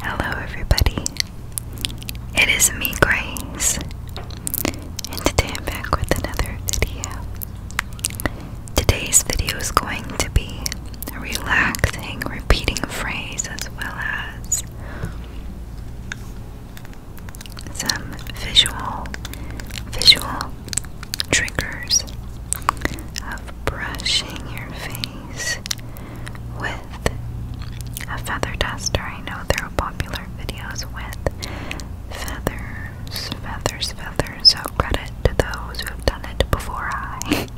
Hello, everybody. It is me, Grace, and today I'm back with another video. Today's video is going to be a relaxing, repeating phrase, as well as some visual, visual triggers brushing your face with a feather duster. I know there are popular videos with feathers, feathers, feathers. So credit to those who have done it before I.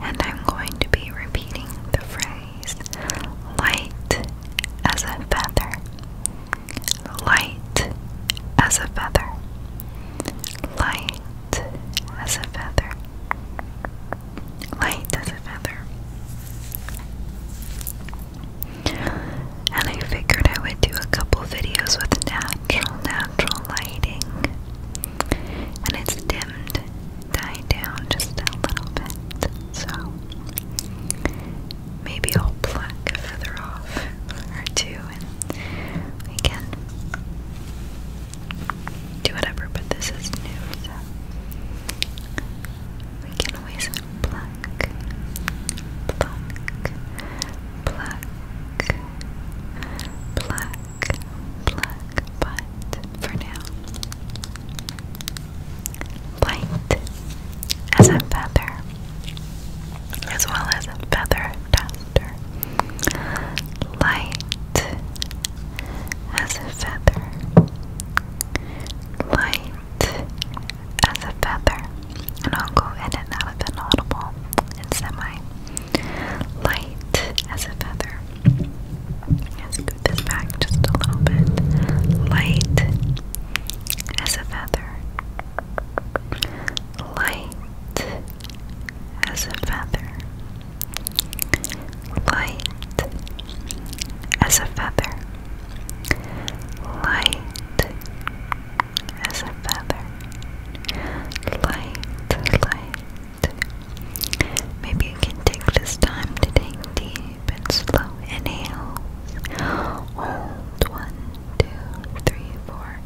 and I'm going to be repeating the phrase light as a feather. Light as a feather. Light as a feather. Light as a feather. And I figured I would do a couple videos with natural, natural lighting. And it's dimmed, died down just a little bit. So maybe I'll pluck a off or two we can do whatever, but this is new, we can always pluck, pluck, pluck, pluck, pluck, but for now, light as a feather, as well as a feather Light as a feather. Light as a feather. And I'll go in and out of inaudible and semi. Light as a feather. Let's scoot this back just a little bit. Light as a feather light as a feather, light as a feather, light as a feather, light, light. Maybe you can take this time to take deep and slow inhales. Hold one two, three, four.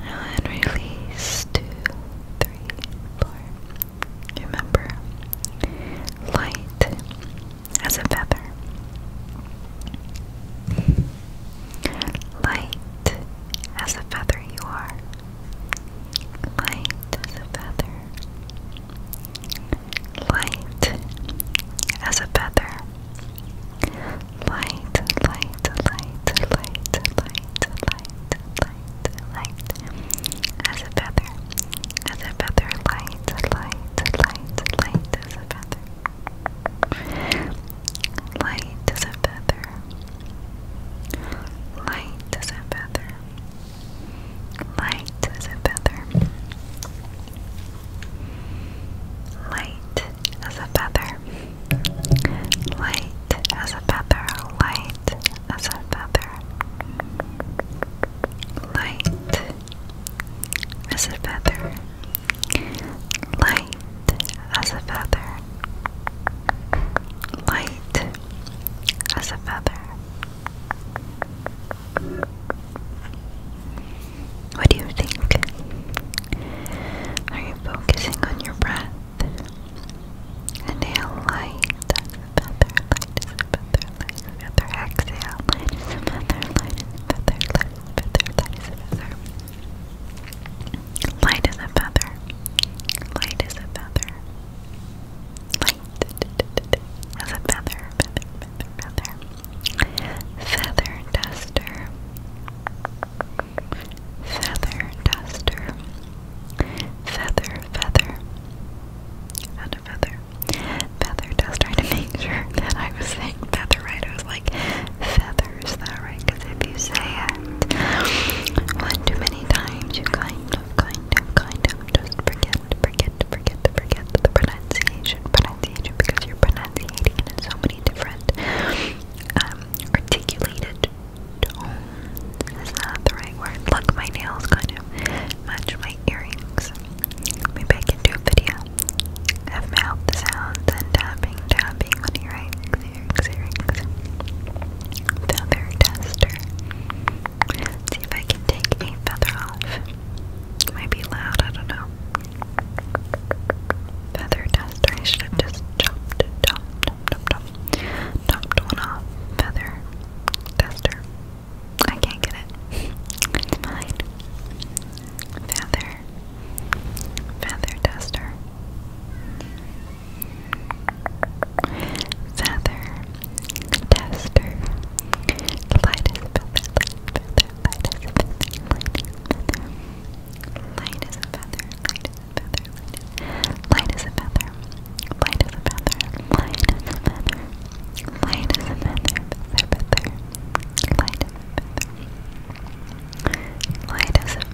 And release two, three, four. Remember, light as a feather. Light as a feather, you are. Light as a feather. Light as a feather light, light, light, light, light, light, light, light, as a feather, as a feather, light, light, light, light, as a feather, light as a feather, light as a feather, light as a feather, Light as a feather. Light as a feather. Light as a feather. Light as a feather. Light as a feather. Light as a feather. What do you think? Are you focusing on your breath? Inhale light, that's a feather, light is a feather, light is a feather, exhale, light is a feather, light is a feather, light is a feather. Light is a feather. Light is a feather. Light is a feather, feather, feather, feather. Feather duster. Feather duster. Feather, feather. And a feather. Feather duster. I had to make sure that I was saying feather right. I was like, feather, is that right? Because if you say it one too many times, you kind of, kind of, kind of just forget, forget, forget, forget the pronunciation. But because you're pronunciating it in so many different um, articulated Is that the right word? Look, my nails kind of match my earrings. Maybe I can do video of mouth sounds and tapping, tapping on earrings, earrings, earrings. Feather tester. see if I can take a feather off. might be loud, I don't know. Feather duster. I should have just chopped, chopped, chopped, chopped, chopped one off. Feather duster. I can't get it. It's mine. Feather. Feather duster. Feather duster. The light is feather, feather, light is a feather, light as a feather, light as a feather, light as a feather, light as a feather, light as a feather, light as a feather, light as a feather, light as a feather, light as a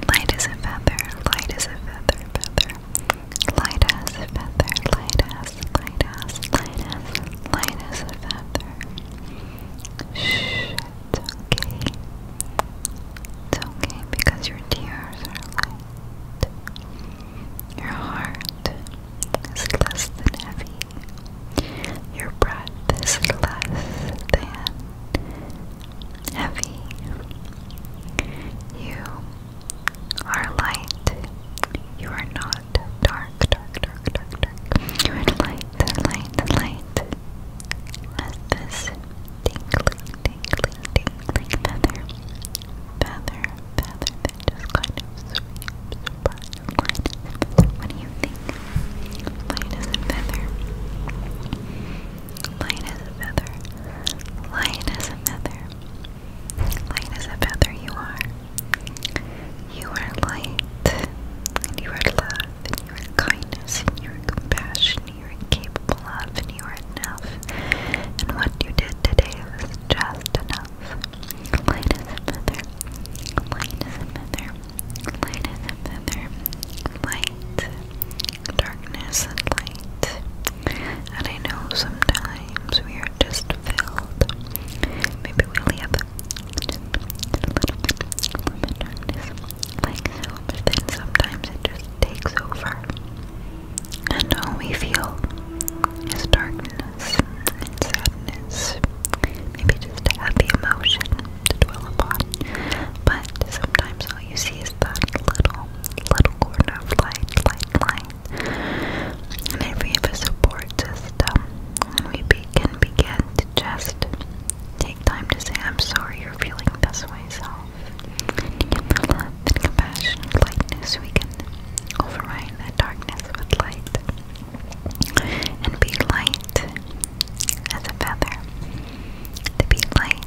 feather, light as a feather, Light as a feather, light as, light as, light as, light as a feather. Shh, it's okay. It's okay because your tears are light. Your heart is less than heavy. Your breath is less than heavy. You are light. You are not dark, dark, dark, dark, dark. You are light, light, light. As this tingling, tingling, tingling feather, feather, feather that just kind of sweeps across What do you think? Light as a feather. Light as a feather. Light as a feather. Light is a feather you are. You are light, and you are love, and you are kindness, and you are compassion, you are capable of, and you are enough. And what you did today was just enough. Light is a feather, light is a feather, light is a feather, light, darkness and light, and I know sometimes we are just filled. Maybe we only have a little bit of darkness, but then sometimes it just takes over. And all we feel darkness and sadness. Maybe just a heavy emotion to dwell upon. But sometimes all you see is that little, little corner of light, light, light. And if we have a support system, we can begin to just take time to say, I'm sorry you're feeling this way, self. compassion and lightness. We can override that darkness with light and be light as a feather. To be light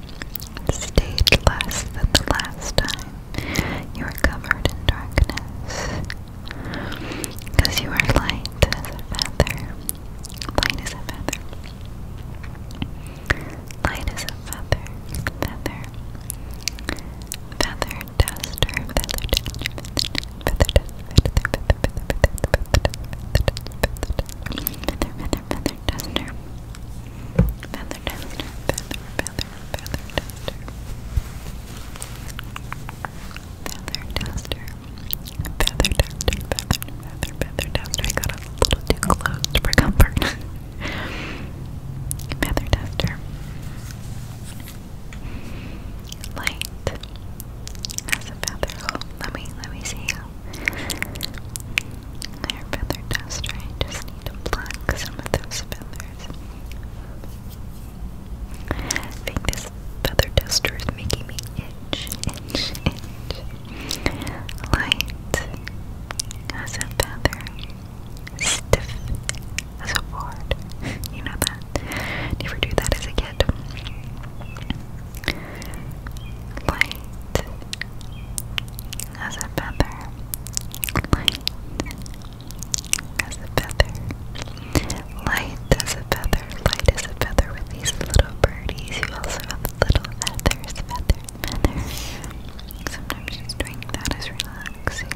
hair stayed less than the last time you were covered in darkness. Because you are light as a feather. Light as a feather. Light as a feather. Feather. Feather duster. Feather duster. Feather duster. Feather duster. Feather feather feather duster. Feather feather duster, feather, feather, feather duster. Feather duster, feather duster, feather, feather, feather duster. I got a little too close for comfort. feather duster. Light as a feather. let me, let me see hair feather duster. I just need to pluck some of those feathers. think this feather duster is making me itch, itch, itch. Light as a feather, stiff as a board. You know that. Do you ever do that as a kid? Light as a feather, light as a feather, light as a feather, light as a feather with these little birdies who also have little feathers, feather, feather. Sometimes just doing that is relaxing.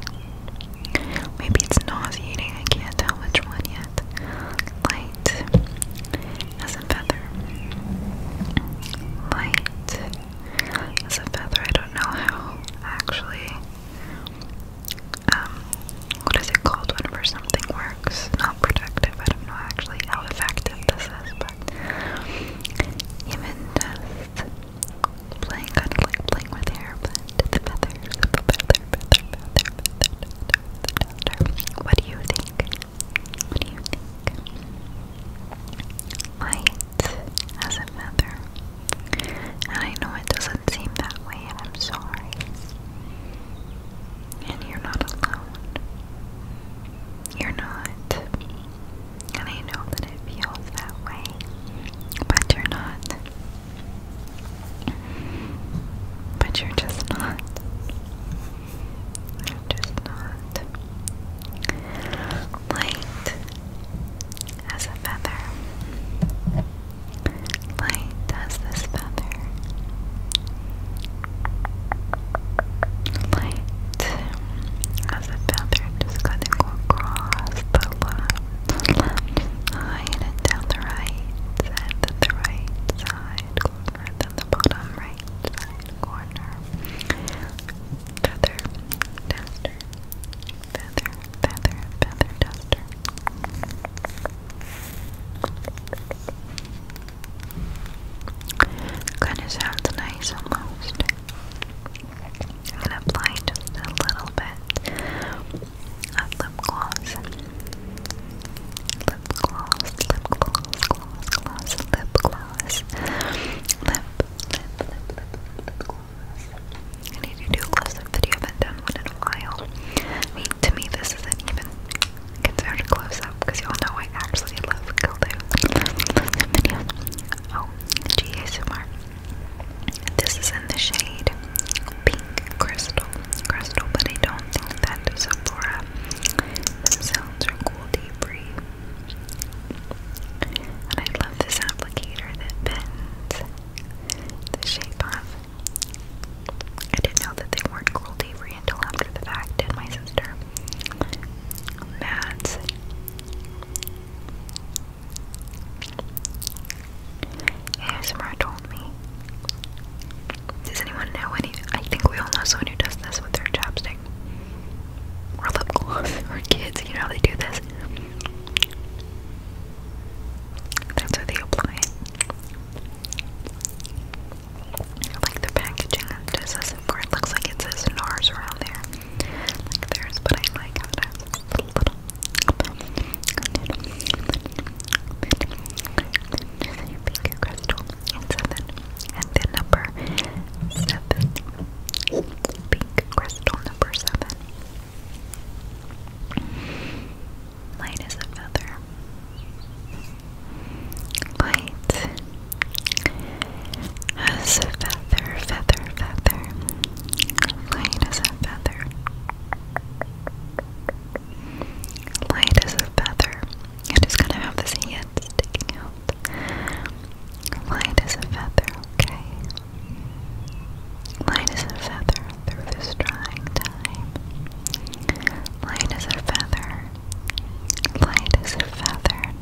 Maybe it's nauseating, I can't tell which one yet. Light as a feather. Light as a feather. I don't know how actually um what is it called whenever something works? Not productive. I don't know actually how effective this is, but even just playing kind of like playing with hair, but the feathers, feather, feather, feather, feather, feather. What do you think? What do you think? Light as a feather. And I know it doesn't seem that way, and I'm sorry. And you're not alone. You're not. And I know that it feels that way, but you're not. But you're just not. I'm just not light as a feather, light as this feather, light as a feather. Just gonna go across the left, left and down the right side, the right side, go over, the bottom right right side corner. Feather duster. Feather, feather, feather duster. Kinda sounds nice almost. gonna apply a little bit of lip gloss lip gloss, lip gloss, gloss, gloss, lip gloss. Lip, lip, lip, lip, lip gloss. I need to do a close-up video. I haven't done one in a while. I mean, to me, this isn't even considered a close-up because y'all know I actually love close-up videos. Oh, GASMR. This is in the shade Pink Crystal. Crystal, but I don't think that Sephora themselves are cool deep And I love this applicator that bends the shape of. I didn't know that they weren't cruelty free until after the fact, and my sister. Mads. ASMR told me does anyone know any? I think we all know someone who does this with their chapstick or lip gloss or kids. You know how they do this. That's how they apply I like the packaging of this is it looks like it says NARS around there. Like theirs, but I like how a little little bit, bit, bit, bit, and seven. And then number seven. Pink crystal number seven. Light as a feather. Light as a feather, feather, feather. Light as a feather. Light as a feather. You just gotta have this hand sticking out. Light as a feather, okay? Light as a feather through this trying time. Light as a feather. Light as a feather.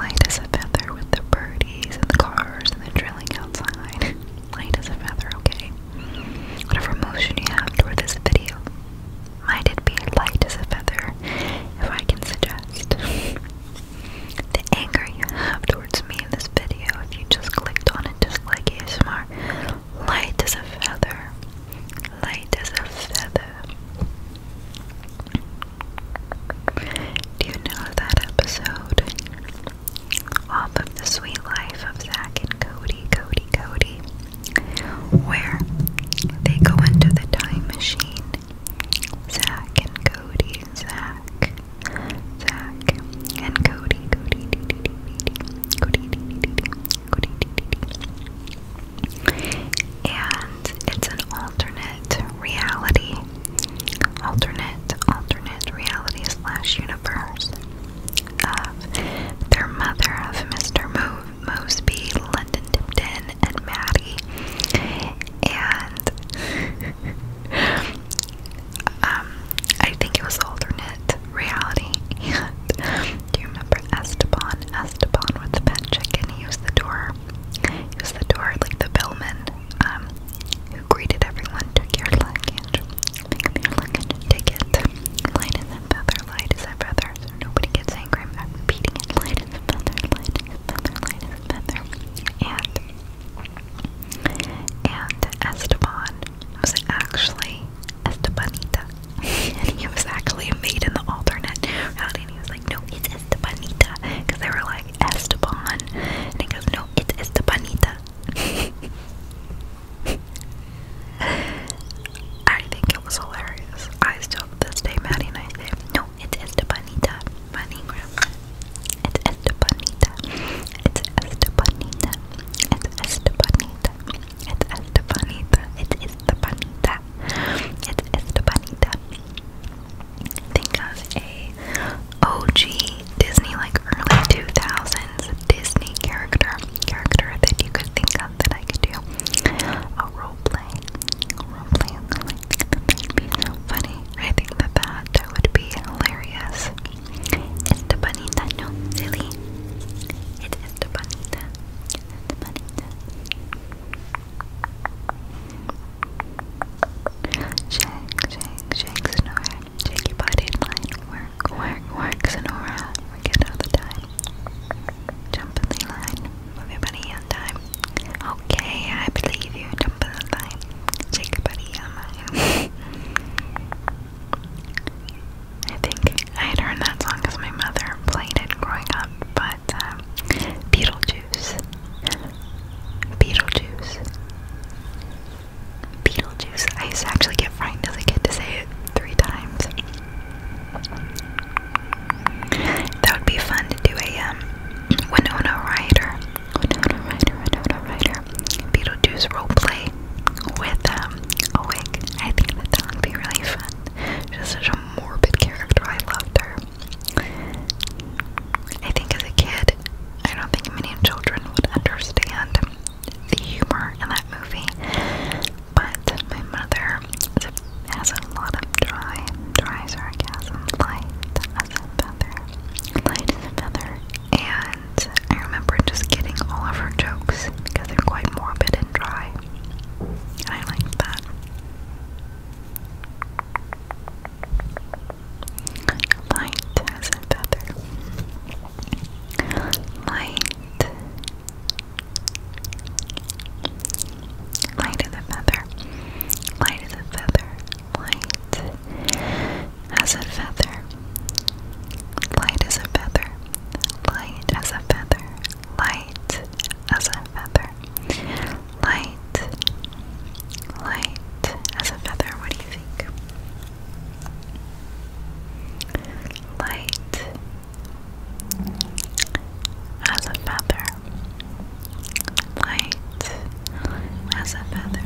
Light as a feather with the birdies and the cars and the drilling outside. Light as a feather, okay? whatever emotion you have toward this video. Might it be light as a feather, if I can suggest. the anger you have towards me in this video, if you just clicked on it just like ASMR, light as a feather. Light as a feather. Do you know that episode? off of The Sweet Life of Zach and Cody, Cody, Cody, where they go into the time machine. Zach and Cody, Zach, Zach and Cody, Cody, Cody, Cody, and it's an alternate reality, alternate, alternate reality slash universe of their mother of Mr. Mosby, London Tipton, and Maddie. And um, I think it was alternate reality. do you remember Esteban? Esteban with the pet chicken. He was the door. He the door, like the bellman. Um, who greeted everyone, took your luggage, Pick it. Light is a feather, light is a feather. So nobody gets angry. repeating it. Light is a feather, light is a feather, light is a feather. And and Esteban was actually Estebanita. and he was actually made in the alternate route and he was like, No, it's Estebanita because they were like Esteban and he goes, No, it's Estebanita I think it was hilarious. I still to this day, Maddie and no, it's Estebanita Manigram. It's Estebanita. It's Estebanita. It's Estebanita. It's Estebanita. It's Estebanita. It's Estebanita. Think of a OG Disney, like early 2000s Disney character, character that you could think of that I could do a role play, role play. I that would be funny. I think that that, would be hilarious. Estebanita, no, silly. It's Estebanita. Estebanita. Shake, shake, shake, snore. Shake your body in line. we work, work, work, Sonora. We it all the time. Jump in the line. Everybody on time. Okay, I believe you. Jump in the line. Shake your buddy on mine. I think I had heard that song my mother played it growing up, but um, Beetlejuice. Beetlejuice. Beetlejuice. I used to actually get frightened as a kid to say it three times. That would be fun to do a um, Winona Ryder, Winona Ryder, Winona Ryder, Beetlejuice roleplay with um, a wig. I think that that would be really fun. She such a morbid character. I loved her. I think as a kid, I don't think many children would understand the humor in that movie, but my mother has a lot of dry, dry sarcasm, light as a feather, light feather, and I remember just getting all of her jokes because they're quite morbid and dry, I like that. Light as a feather. Light. Light as a feather. Light as a feather. Light as a feather. Light as a feather. Light as a feather. Light as a feather. Light. Light as a feather. What do you Light as a feather. Light as a feather.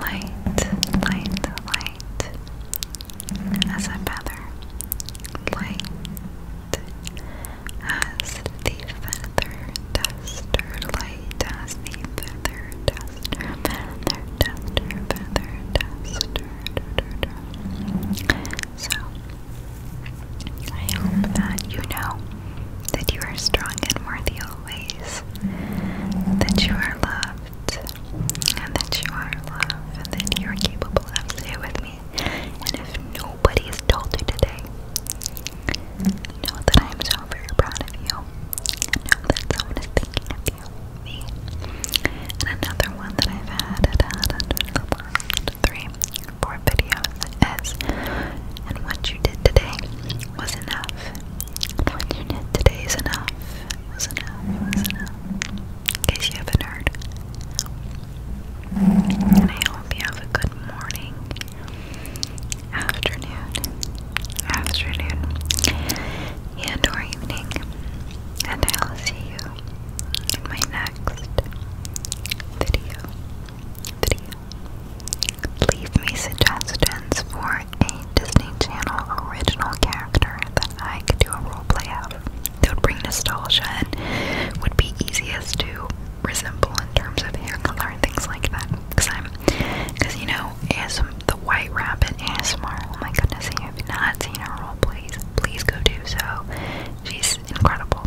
Light, light, light as a feather. Light as the feather does light. I hope that you know that you are strong and worthy always, that you are loved, and that you are loved, and that you are capable of. Stay with me. And if nobody has told you today, Know that I am so very proud of you. Know that someone is thinking of you, me. And another one that I've had, had, had under the last three, four videos is, and what you did today was enough. What you did today is enough. Was enough. Was enough. In case you haven't heard. And I hope you have a good morning, afternoon, afternoon, and or evening, and I'll see you in my next video. Video. Leave me suggestions for a Disney Channel original character that I could do a roleplay of. That would bring nostalgia and would be easiest to resemble in terms of hair color and things like that. Cause I'm, cause you know, ASM, the White Rabbit ASMR. Oh my goodness, if you've not seen her role oh, please go do so. She's incredible.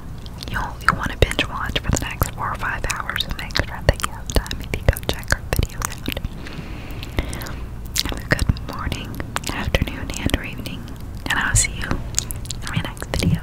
You'll you will want to binge watch for the next four or five hours and make sure that you have time if you go check her videos out. Have a good morning, afternoon, and or evening, and I'll see you in my next video.